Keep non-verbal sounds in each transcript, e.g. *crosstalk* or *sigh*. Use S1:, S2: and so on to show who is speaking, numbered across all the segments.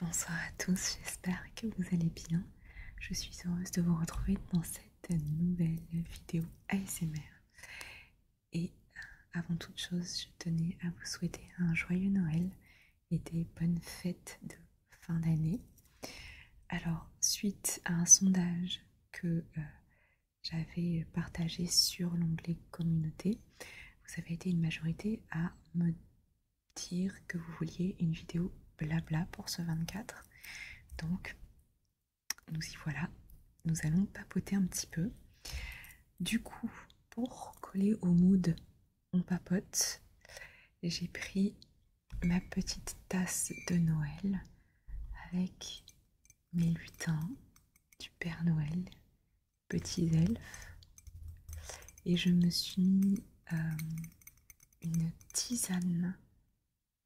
S1: Bonsoir à tous, j'espère que vous allez bien. Je suis heureuse de vous retrouver dans cette nouvelle vidéo ASMR. Et euh, avant toute chose, je tenais à vous souhaiter un joyeux Noël et des bonnes fêtes de fin d'année. Alors, suite à un sondage que euh, j'avais partagé sur l'onglet communauté, vous avez été une majorité à me dire que vous vouliez une vidéo blabla pour ce 24. Donc, nous y voilà. Nous allons papoter un petit peu. Du coup, pour coller au mood, on papote. J'ai pris ma petite tasse de Noël avec mes lutins du Père Noël petits elfes et je me suis mis euh, une tisane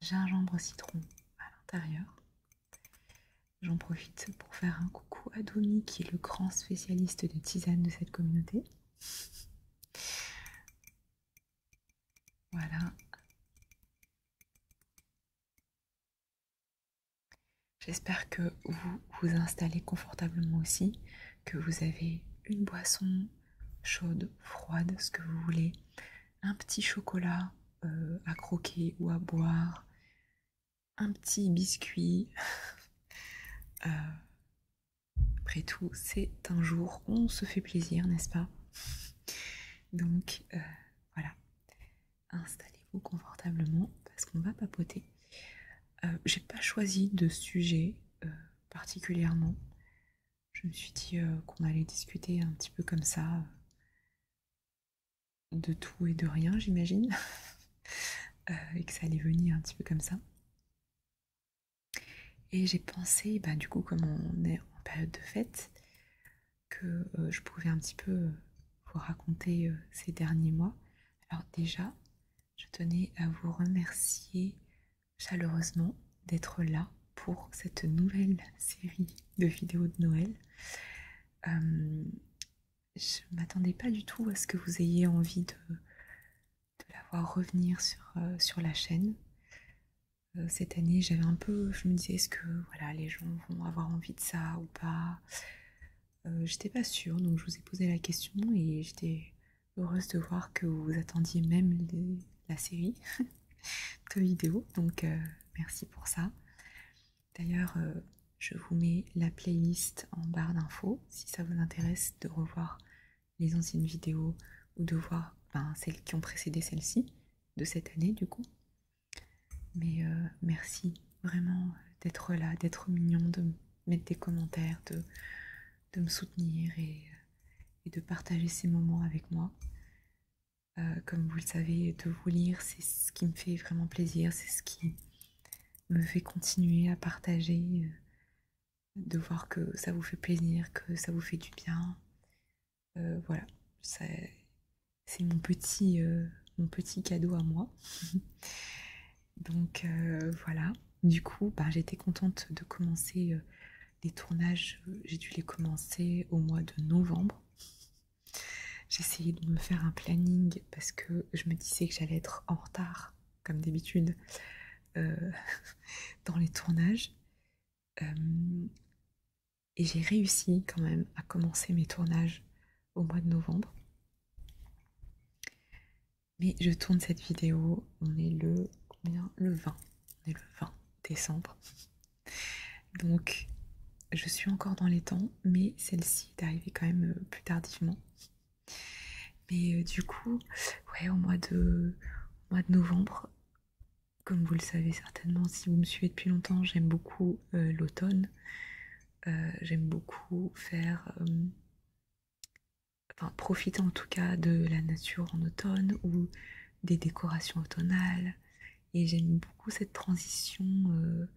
S1: gingembre citron à l'intérieur. J'en profite pour faire un coucou à qui est le grand spécialiste de tisane de cette communauté. Voilà. J'espère que vous vous installez confortablement aussi, que vous avez une boisson chaude, froide, ce que vous voulez, un petit chocolat euh, à croquer ou à boire, un petit biscuit. *laughs* Euh, après tout, c'est un jour où on se fait plaisir, n'est-ce pas Donc euh, voilà, installez-vous confortablement parce qu'on va papoter. Euh, j'ai pas choisi de sujet euh, particulièrement. Je me suis dit euh, qu'on allait discuter un petit peu comme ça de tout et de rien, j'imagine, *laughs* et que ça allait venir un petit peu comme ça. Et j'ai pensé, bah, du coup, comme on est en période de fête, que je pouvais un petit peu vous raconter ces derniers mois. Alors déjà, je tenais à vous remercier chaleureusement d'être là pour cette nouvelle série de vidéos de Noël. Euh, je ne m'attendais pas du tout à ce que vous ayez envie de, la voir revenir sur, euh, sur la chaîne. Euh, cette année, j'avais un peu, je me disais, est-ce que voilà, les gens vont avoir envie de ça ou pas euh, j'étais pas sûre, donc je vous ai posé la question et j'étais heureuse de voir que vous attendiez même la série *laughs* de vidéos, donc euh, merci pour ça. D'ailleurs, euh, je vous mets la playlist en barre d'infos si ça vous intéresse de revoir les anciennes vidéos ou de voir ben, celles qui ont précédé celle-ci de cette année du coup. Mais merci vraiment d'être là, d'être mignon, de mettre des commentaires, de, de me soutenir et, de partager ces moments avec moi. Euh, comme vous le savez, de vous lire, c'est ce qui me fait vraiment plaisir, c'est ce qui me fait continuer à partager, euh, de voir que ça vous fait plaisir, que ça vous fait du bien. Euh, voilà, c'est mon petit, mon petit cadeau à moi. *laughs* Donc euh, voilà, du coup bah, j'étais contente de commencer euh, les tournages, j'ai dû les commencer au mois de novembre. J'essayais de me faire un planning parce que je me disais que j'allais être en retard, comme d'habitude, euh, *laughs* dans les tournages. et j'ai réussi quand même à commencer mes tournages au mois de novembre. Mais je tourne cette vidéo, on est le combien Le 20. On est le 20 décembre. Donc je suis encore dans les temps, mais celle-ci est arrivée quand même euh, plus tardivement. Mais euh, du coup, ouais, au mois de, mois de novembre, comme vous le savez certainement si vous me suivez depuis longtemps, j'aime beaucoup euh, l'automne. j'aime beaucoup faire enfin profiter en tout cas de la nature en automne ou des décorations automnales. Et j'aime beaucoup cette transition euh,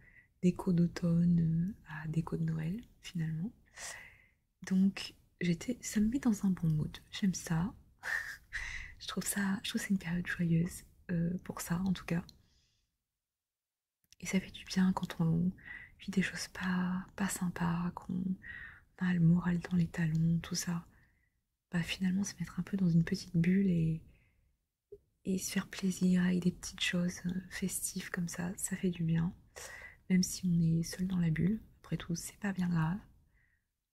S1: d'écho d'automne euh, à déco de Noël finalement. Donc j'étais, ça me met dans un bon mood. J'aime ça. *laughs* je trouve ça, je trouve c'est une période joyeuse euh, pour ça en tout cas. Et ça fait du bien quand on vit des choses pas, pas sympas, qu'on a le moral dans les talons, tout ça. Bah, finalement, se mettre un peu dans une petite bulle et, se faire plaisir avec des petites choses euh, festives comme ça, ça fait du bien. Même si on est seul dans la bulle, après tout, c'est pas bien grave.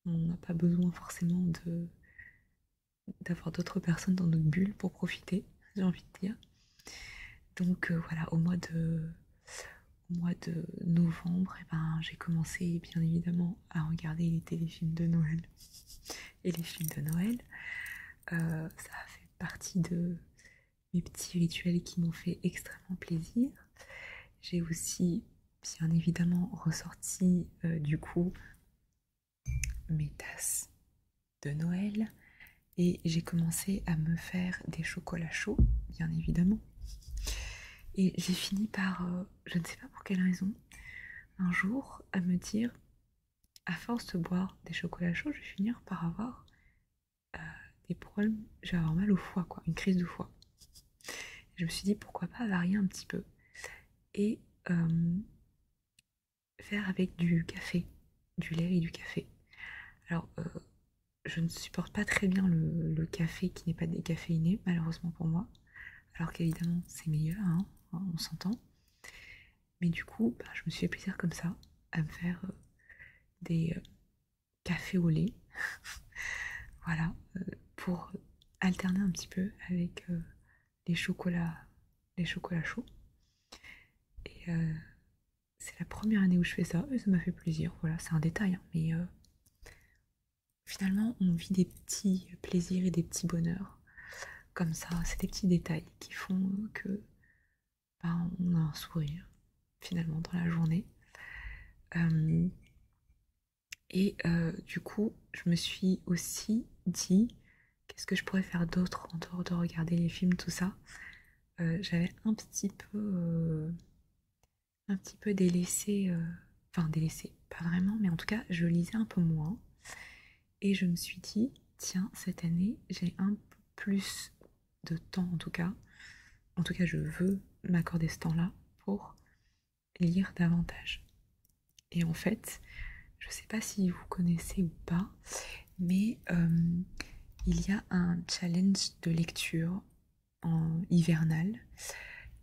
S1: On n'a pas besoin forcément d'avoir d'autres personnes dans notre bulle pour profiter, j'ai envie de dire. Donc euh, voilà, au mois de, novembre, eh ben, j'ai commencé bien évidemment à regarder les téléfilms de Noël et les films de Noël. Euh, ça a fait partie de mes petits rituels qui m'ont fait extrêmement plaisir. J'ai aussi bien évidemment ressorti euh, du coup mes tasses de Noël, et j'ai commencé à me faire des chocolats chauds, bien évidemment. Et j'ai fini par, euh, je ne sais pas pour quelle raison, un jour à me dire, à force de boire des chocolats chauds, je vais finir par avoir euh, des problèmes, je vais avoir mal au foie, quoi, une crise de foie. je me suis dit, pourquoi pas varier un petit peu et euh, faire avec du café, du lait et du café. Alors, je ne supporte pas très bien le, café qui n'est pas décaféiné, malheureusement pour moi. Alors qu'évidemment, c'est meilleur, hein, on s'entend. Mais du coup, bah, je me suis fait plaisir comme ça, à me faire euh, des euh, cafés au lait. *laughs* voilà, euh, pour alterner un petit peu avec les chocolats les chocolats chauds c'est la première année où je fais ça et ça m'a fait plaisir. Voilà, c'est un détail, hein, mais euh, finalement, on vit des petits plaisirs et des petits bonheurs comme ça. C'est des petits détails qui font que ben, on a un sourire finalement dans la journée. Euh, et euh, du coup, je me suis aussi dit qu'est-ce que je pourrais faire d'autre en dehors de regarder les films, tout ça. Euh, j'avais un petit peu euh, un petit peu délaissé euh, enfin délaissé pas vraiment mais en tout cas je lisais un peu moins et je me suis dit tiens cette année j'ai un peu plus de temps en tout cas en tout cas je veux m'accorder ce temps là pour lire davantage et en fait je sais pas si vous connaissez ou pas mais euh, il y a un challenge de lecture en hivernal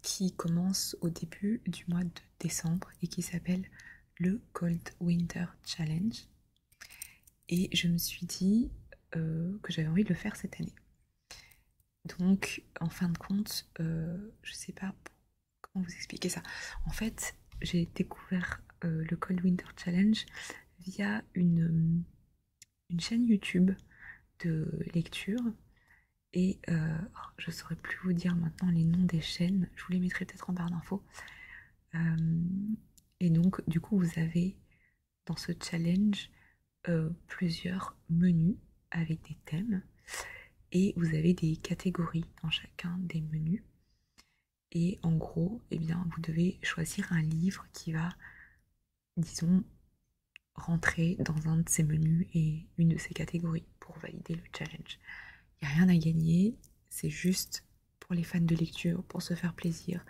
S1: qui commence au début du mois de décembre et qui s'appelle le Cold Winter Challenge. Et je me suis dit euh, que j'avais envie de le faire cette année. Donc, en fin de compte, euh, je ne sais pas comment vous expliquer ça. En fait, j'ai découvert le Cold Winter Challenge via une, une chaîne YouTube de lecture et euh, oh, je saurais plus vous dire maintenant les noms des chaînes, je vous les mettrai peut-être en barre d'infos. Euh, et donc du coup vous avez dans ce challenge euh, plusieurs menus avec des thèmes et vous avez des catégories dans chacun des menus. Et en gros, et eh bien, vous devez choisir un livre qui va disons, rentrer dans un de ces menus et une de ces catégories pour valider le challenge. Il n'y a rien à gagner, c'est juste pour les fans de lecture, pour se faire plaisir,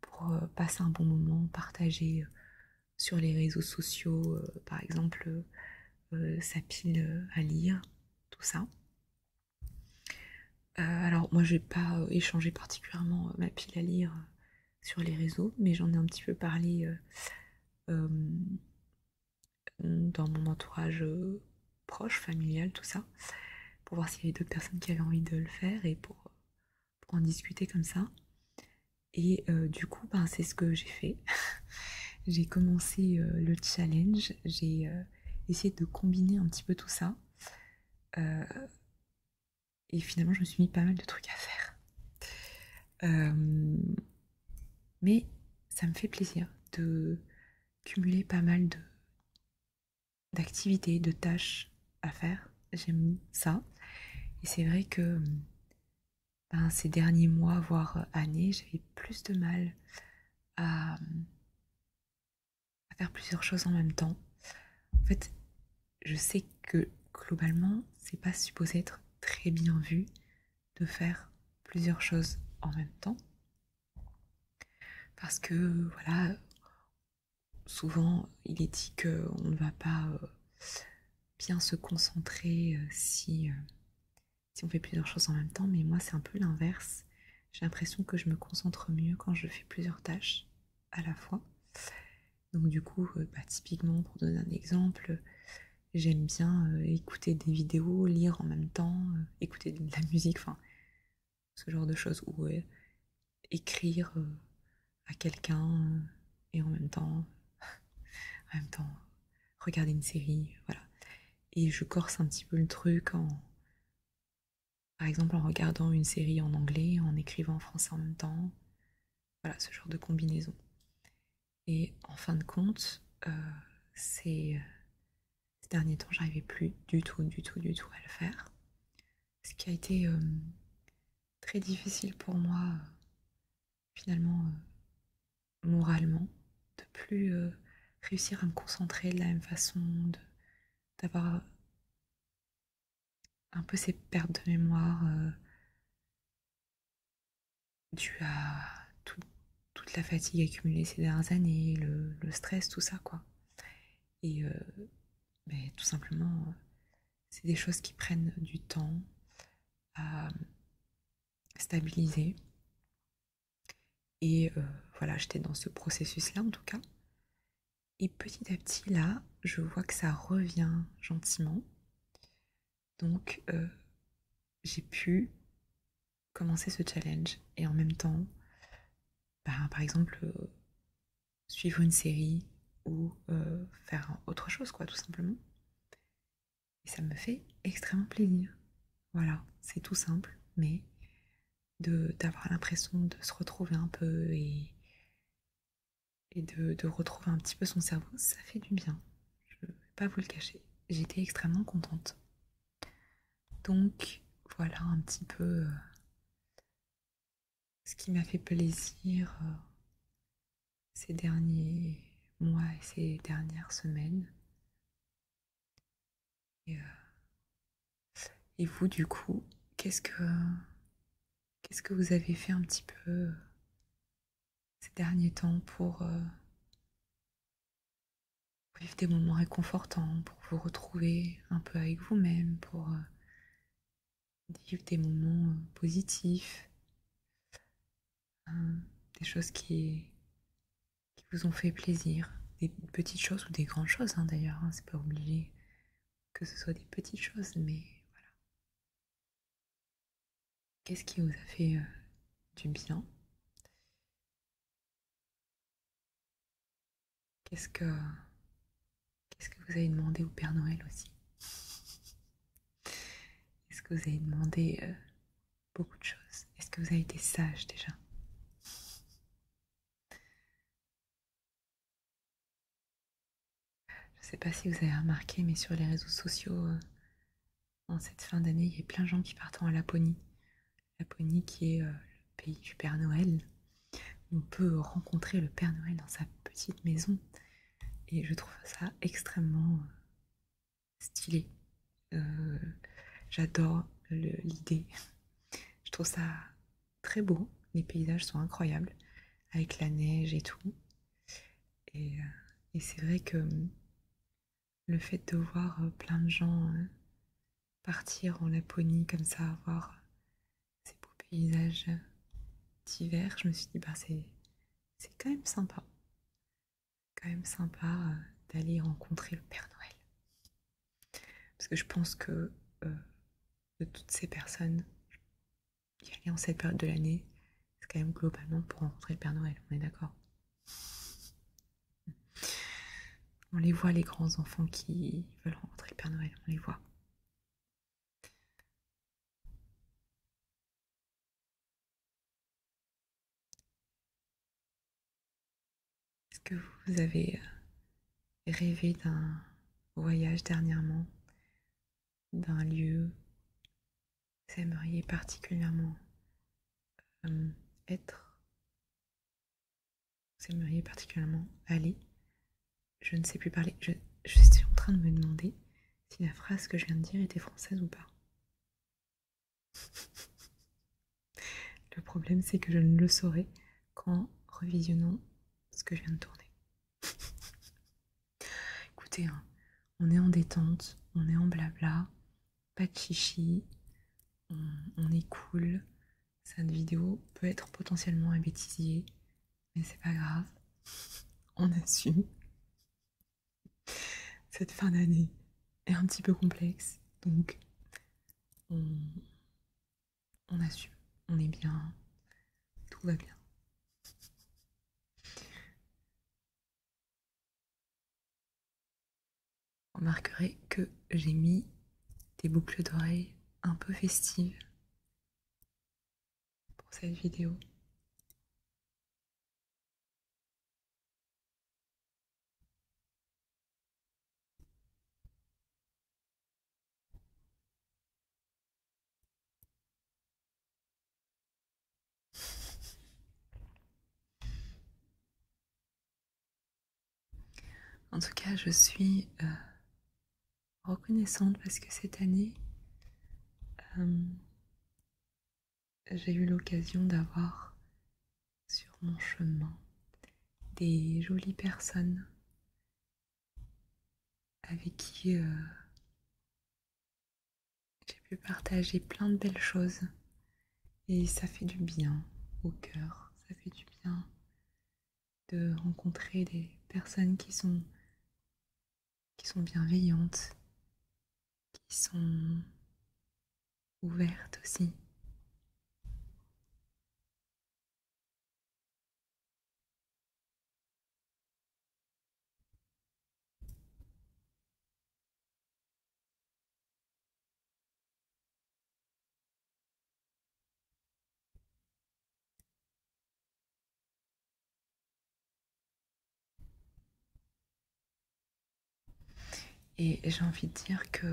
S1: pour euh, passer un bon moment, partager euh, sur les réseaux sociaux, euh, par exemple, sa pile à lire, tout ça. Euh, alors moi je n'ai pas euh, échangé particulièrement euh, ma pile à lire sur les réseaux, mais j'en ai un petit peu parlé dans mon entourage proche, familial, tout ça, pour voir s'il y avait d'autres personnes qui avaient envie de le faire et pour, en discuter comme ça. Et du coup, ben, c'est ce que j'ai fait. *laughs* j'ai commencé le challenge, j'ai essayé de combiner un petit peu tout ça. Et finalement, je me suis mis pas mal de trucs à faire. Euh, mais ça me fait plaisir de cumuler pas mal de d'activités, de tâches à faire. J'aime ça. Et c'est vrai que ben, ces derniers mois, voire années, j'avais plus de mal à, à faire plusieurs choses en même temps. En fait, je sais que globalement, c'est pas supposé être très bien vu de faire plusieurs choses en même temps. Parce que voilà, souvent il est dit qu'on ne va pas euh, bien se concentrer euh, si, euh, si on fait plusieurs choses en même temps, mais moi c'est un peu l'inverse. J'ai l'impression que je me concentre mieux quand je fais plusieurs tâches à la fois. Donc du coup, euh, bah, typiquement, pour donner un exemple, j'aime bien euh, écouter des vidéos, lire en même temps, euh, écouter de la musique, enfin, ce genre de choses, ou écrire à quelqu'un et en même temps, *laughs* en même temps, regarder une série, voilà. Et je corse un petit peu le truc en, par exemple en regardant une série en anglais, en écrivant en français en même temps. Voilà, ce genre de combinaison. Et en fin de compte, euh, euh, ces, derniers temps, j'arrivais plus du tout, du tout, du tout à le faire. Ce qui a été euh, très difficile pour moi, finalement, moralement, de plus réussir à me concentrer de la même façon, d'avoir un peu ces pertes de mémoire euh, dues à toute la fatigue accumulée ces dernières années, le, stress, tout ça, quoi. Et euh, ben, tout simplement, c'est des choses qui prennent du temps à stabiliser. Et euh, voilà, j'étais dans ce processus-là en tout cas. Et petit à petit, là, je vois que ça revient gentiment. Donc, euh, j'ai pu commencer ce challenge et en même temps, bah, par exemple, euh, suivre une série ou euh, faire autre chose, quoi, tout simplement. Et ça me fait extrêmement plaisir. Voilà, c'est tout simple, mais d'avoir l'impression de se retrouver un peu et, de, retrouver un petit peu son cerveau, ça fait du bien. Je ne vais pas vous le cacher. J'étais extrêmement contente. Donc voilà un petit peu euh, ce qui m'a fait plaisir euh, ces derniers mois et ces dernières semaines. Et, euh, et vous, du coup, qu'est-ce que vous avez fait un petit peu euh, ces derniers temps euh, pour vivre des moments réconfortants, pour vous retrouver un peu avec vous-même, pour euh, vivre des moments positifs, hein, des choses qui, vous ont fait plaisir, des petites choses ou des grandes choses hein, d'ailleurs, hein, c'est pas obligé que ce soit des petites choses, mais voilà. Qu'est-ce qui vous a fait euh, du bien Qu'est-ce que qu'est-ce que vous avez demandé au Père Noël aussi Est-ce que vous avez demandé euh, beaucoup de choses Est-ce que vous avez été sage déjà je ne sais pas si vous avez remarqué, mais sur les réseaux sociaux, euh, en cette fin d'année, il y a plein de gens qui partent en Laponie. Laponie qui est euh, le pays du Père Noël. On peut rencontrer le Père Noël dans sa petite maison. Et je trouve ça extrêmement euh, stylé. J'adore l'idée. Je trouve ça très beau. Les paysages sont incroyables avec la neige et tout. Et, euh, c'est vrai que hum, le fait de voir euh, plein de gens hein, partir en Laponie comme ça, voir euh, ces beaux paysages d'hiver, je me suis dit, bah, c'est quand même sympa. Quand même sympa d'aller rencontrer le Père Noël. Parce que je pense que de toutes ces personnes qui allaient en cette période de l'année, c'est quand même globalement pour rencontrer le Père Noël, on est d'accord On les voit, les grands enfants qui veulent rencontrer le Père Noël, on les voit. Est-ce que vous avez euh, Rêver d'un voyage dernièrement, d'un lieu. Vous aimeriez particulièrement euh, être. Vous aimeriez particulièrement aller. Je ne sais plus parler. Je, je suis en train de me demander si la phrase que je viens de dire était française ou pas. *laughs* Le problème, c'est que je ne le saurai qu'en revisionnant ce que je viens de tourner. Écoutez, hein, on est en détente, on est en blabla, pas de chichi, on, on est cool. Cette vidéo peut être potentiellement un bêtisier, mais c'est pas grave, *laughs* on assume. Cette fin d'année est un petit peu complexe, donc on, on assume, on est bien, tout va bien. On remarquerez que j'ai mis des boucles d'oreilles un peu festives pour cette vidéo. En tout cas, je suis euh, reconnaissante parce que cette année, euh, j'ai eu l'occasion d'avoir sur mon chemin des jolies personnes avec qui euh, j'ai pu partager plein de belles choses. Et ça fait du bien au cœur, ça fait du bien de rencontrer des personnes qui sont, qui sont bienveillantes, qui sont ouvertes aussi. Et j'ai envie de dire que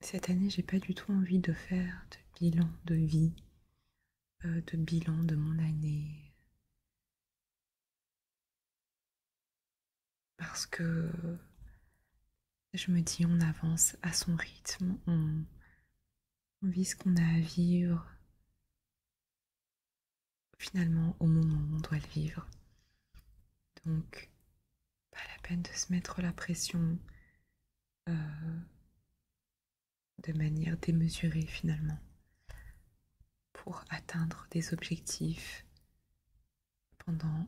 S1: cette année, j'ai pas du tout envie de faire de bilan de vie, euh, de bilan de mon année. Parce que je me dis, on avance à son rythme, on, on vit ce qu'on a à vivre finalement au moment où on doit le vivre. Donc, pas la peine de se mettre la pression, euh, de manière démesurée finalement pour atteindre des objectifs pendant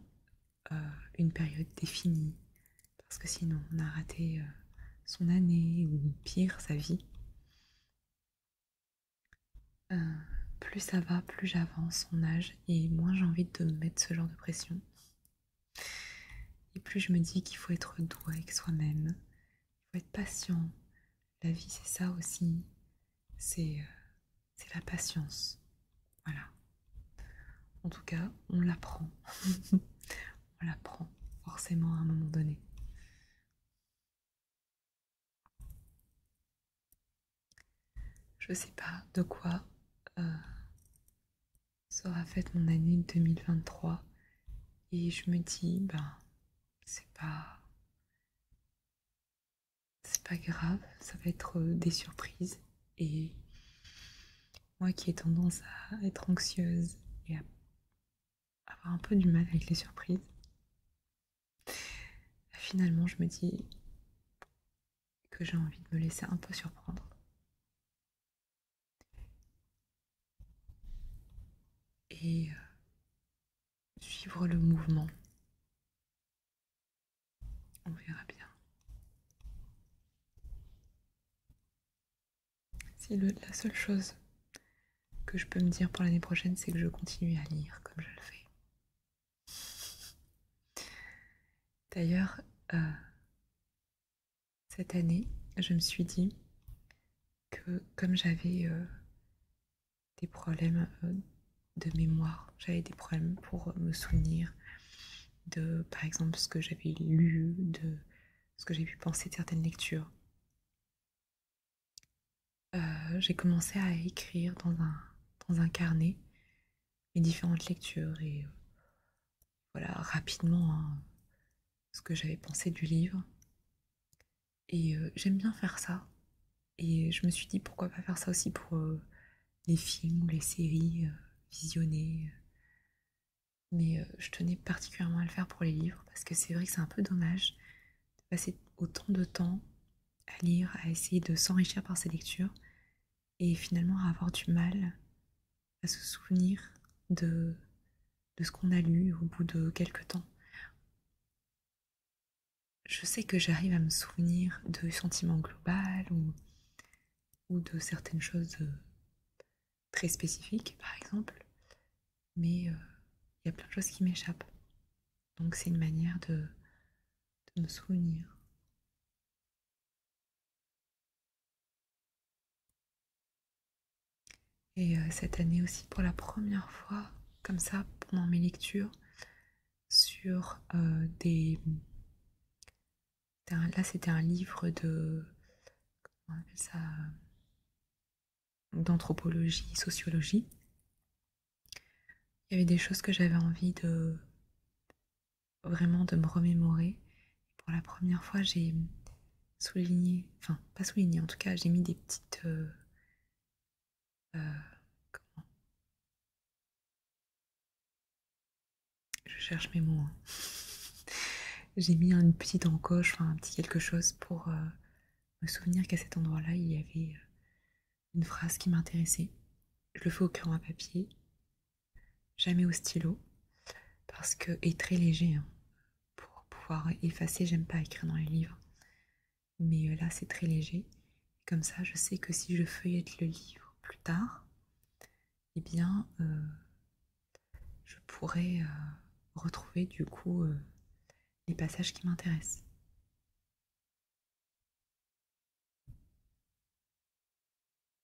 S1: euh, une période définie parce que sinon on a raté euh, son année ou pire sa vie. plus ça va, plus j'avance en âge et moins j'ai envie de mettre ce genre de pression. Et plus je me dis qu'il faut être doux avec soi-même, il faut être patient. La vie, c'est ça aussi. C'est euh, la patience. Voilà. En tout cas, on l'apprend. *laughs* on l'apprend forcément à un moment donné. Je sais pas de quoi euh, ça aura fait mon année 2023 et je me dis ben c'est pas c'est pas grave ça va être euh, des surprises et moi qui ai tendance à être anxieuse et à avoir un peu du mal avec les surprises finalement je me dis que j'ai envie de me laisser un peu surprendre et euh, suivre le mouvement. On verra bien. Si la seule chose que je peux me dire pour l'année prochaine, c'est que je continue à lire comme je le fais. D'ailleurs, euh, cette année, je me suis dit que comme j'avais euh, des problèmes euh, de mémoire, j'avais des problèmes pour me souvenir de, par exemple, ce que j'avais lu, de ce que j'ai pu penser de certaines lectures. Euh, j'ai commencé à écrire dans un carnet les différentes lectures et euh, voilà rapidement hein, ce que j'avais pensé du livre. Et euh, j'aime bien faire ça. Et je me suis dit pourquoi pas faire ça aussi pour euh, les films ou les séries visionnées. Mais je tenais particulièrement à le faire pour les livres parce que c'est vrai que c'est un peu dommage de passer autant de temps à lire, à essayer de s'enrichir par ces lectures et finalement à avoir du mal à se souvenir de, ce qu'on a lu au bout de quelques temps. Je sais que j'arrive à me souvenir de sentiments global ou, de certaines choses très spécifiques, par exemple, mais euh, il y a plein de choses qui m'échappent. Donc c'est une manière de me souvenir. Et euh, cette année aussi, pour la première fois, comme ça, pendant mes lectures, sur euh, des... là, c'était un livre de... Comment on appelle ça D'anthropologie, sociologie. Il y avait des choses que j'avais envie de vraiment de me remémorer. Pour la première fois, j'ai souligné, enfin pas souligné, en tout cas, j'ai mis des petites... Euh, euh, comment Je cherche mes mots. Hein. *laughs* j'ai mis une petite encoche, enfin un petit quelque chose pour euh, me souvenir qu'à cet endroit-là, il y avait une phrase qui m'intéressait. Je le fais au crayon à papier jamais au stylo, parce que est très léger. Hein. Pour pouvoir effacer, j'aime pas écrire dans les livres. Mais euh, là, c'est très léger. Comme ça, je sais que si je feuillette le livre plus tard, et eh bien, euh, je pourrais euh, retrouver du coup les passages qui m'intéressent.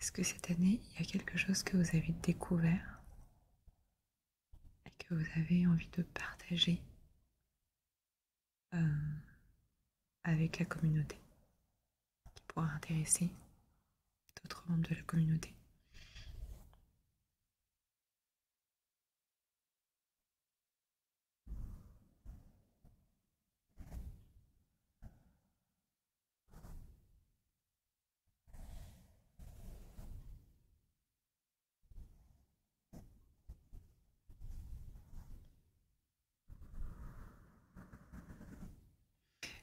S1: Est-ce que cette année, il y a quelque chose que vous avez découvert et que vous avez envie de partager euh, avec la communauté qui pourra intéresser d'autres membres de la communauté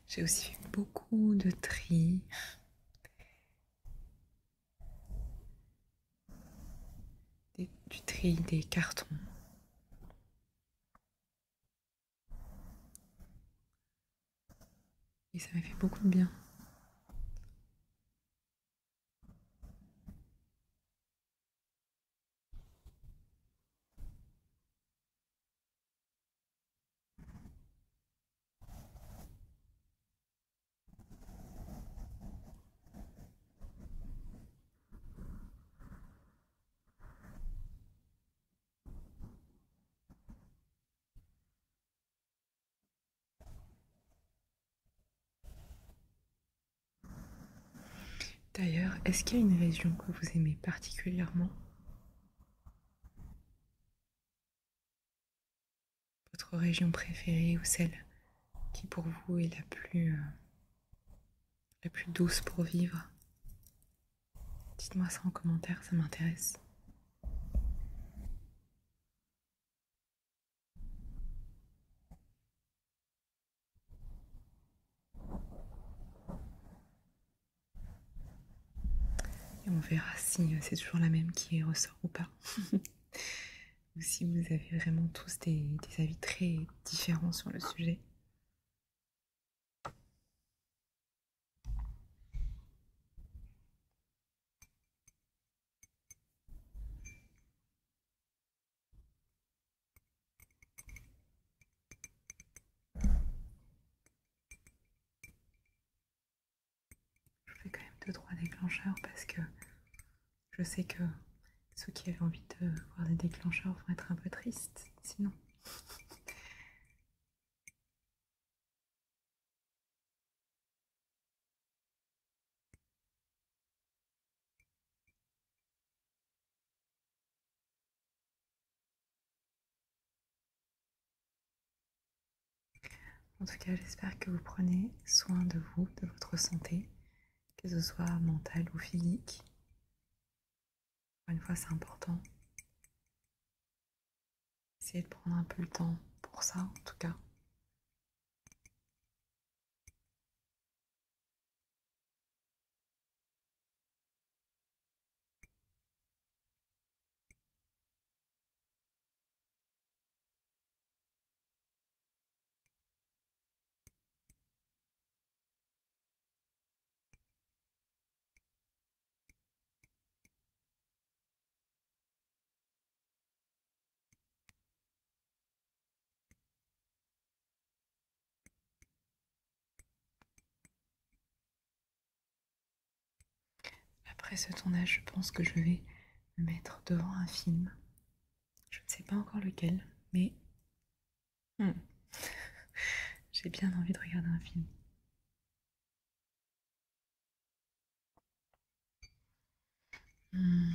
S1: j'ai aussi fait beaucoup de tri. du tri des cartons. Et ça m'a fait beaucoup de bien. D'ailleurs, est-ce qu'il y a une région que vous aimez particulièrement Votre région préférée ou celle qui pour vous est la plus, euh, la plus douce pour vivre Dites-moi ça en commentaire, ça m'intéresse. Et on verra si euh, c'est toujours la même qui ressort ou pas. *laughs* ou si vous avez vraiment tous des, avis très différents sur le sujet. Je fais quand même deux trois déclencheurs parce que je sais que ceux qui avaient envie de voir des déclencheurs vont être un peu tristes sinon. En tout cas, j'espère que vous prenez soin de vous, de votre santé, que ce soit mentale ou physique une fois, c'est important. Essayez de prendre un peu le temps pour ça, en tout cas. Après ce tournage, je pense que je vais me mettre devant un film. Je ne sais pas encore lequel, mais Hmm. *laughs* J'ai bien envie de regarder un film. Hmm.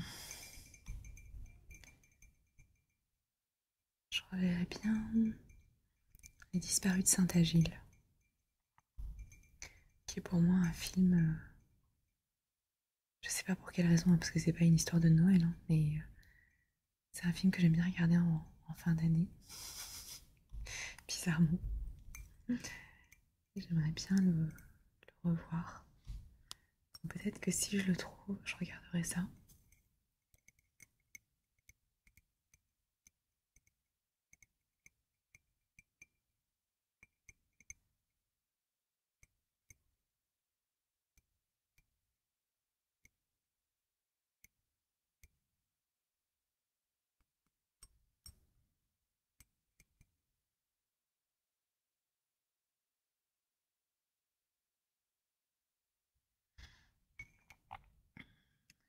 S1: Je reverrai bien Les disparus de Saint-Agile, qui est pour moi un film. Euh, je sais pas pour quelle raison, hein, parce que c'est pas une histoire de Noël, hein, mais euh, c'est un film que j'aime bien regarder en, fin d'année. Bizarrement. J'aimerais bien le revoir. Peut-être que si je le trouve, je regarderai ça.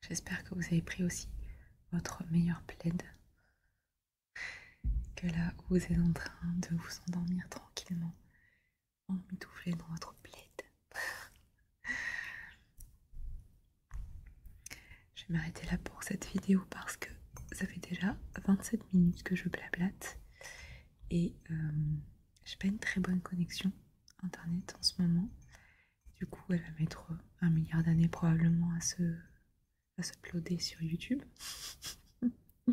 S1: J'espère que vous avez pris aussi votre meilleur plaid. Que là où vous êtes en train de vous endormir tranquillement, en dans votre plaid, je vais m'arrêter là pour cette vidéo parce que ça fait déjà 27 minutes que je blablate et je euh, j'ai pas une très bonne connexion internet en ce moment. Du coup, elle va mettre un milliard d'années probablement à se, à se sur YouTube. *laughs*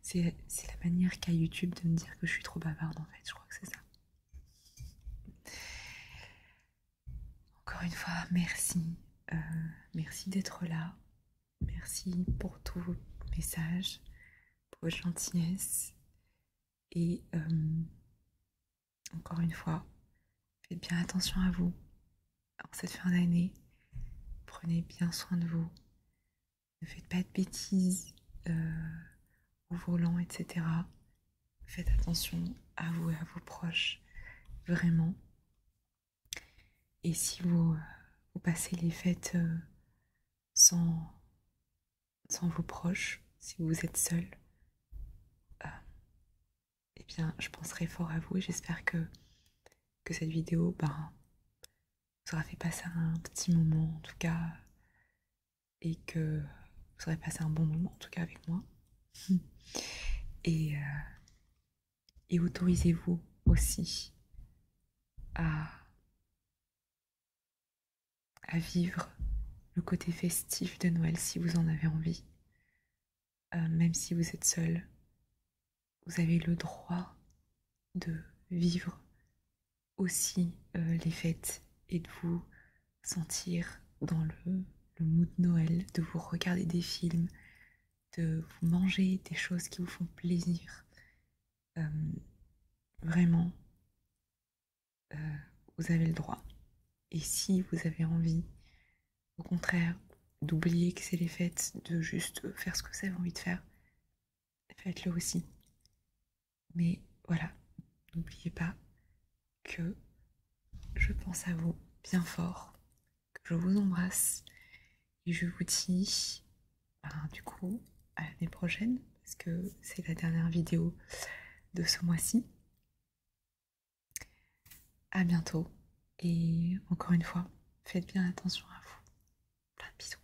S1: c'est la manière qu'a YouTube de me dire que je suis trop bavarde en fait, je crois que c'est ça. Encore une fois, merci. Euh, merci d'être là. Merci pour tous vos messages, pour votre gentillesse. Et euh, encore une fois, faites bien attention à vous en cette fin d'année. Prenez bien soin de vous. Ne faites pas de bêtises au volant, etc faites attention à vous et à vos proches, vraiment. Et si vous, euh, passez les fêtes euh, sans, sans vos proches, si vous êtes seul, euh, eh bien, je penserai fort à vous et j'espère que, cette vidéo ben, vous aura fait passer un petit moment, en tout cas, et que vous aurez passé un bon moment, en tout cas avec moi. *laughs* Euh, et, autorisez-vous aussi à, vivre le côté festif de Noël si vous en avez envie. Euh, même si vous êtes seul, vous avez le droit de vivre aussi euh, les fêtes et de vous sentir dans le, mood de Noël, de vous regarder des films, de vous manger des choses qui vous font plaisir. Euh, vraiment, euh, vous avez le droit. Et si vous avez envie, au contraire, d'oublier que c'est les fêtes, de juste faire ce que vous avez envie de faire, faites-le aussi. Mais voilà, n'oubliez pas que je pense à vous bien fort, que je vous embrasse et je vous dis ben, du coup à l'année prochaine parce que c'est la dernière vidéo de ce mois-ci. À bientôt et encore une fois, faites bien attention à vous. Plein de bisous.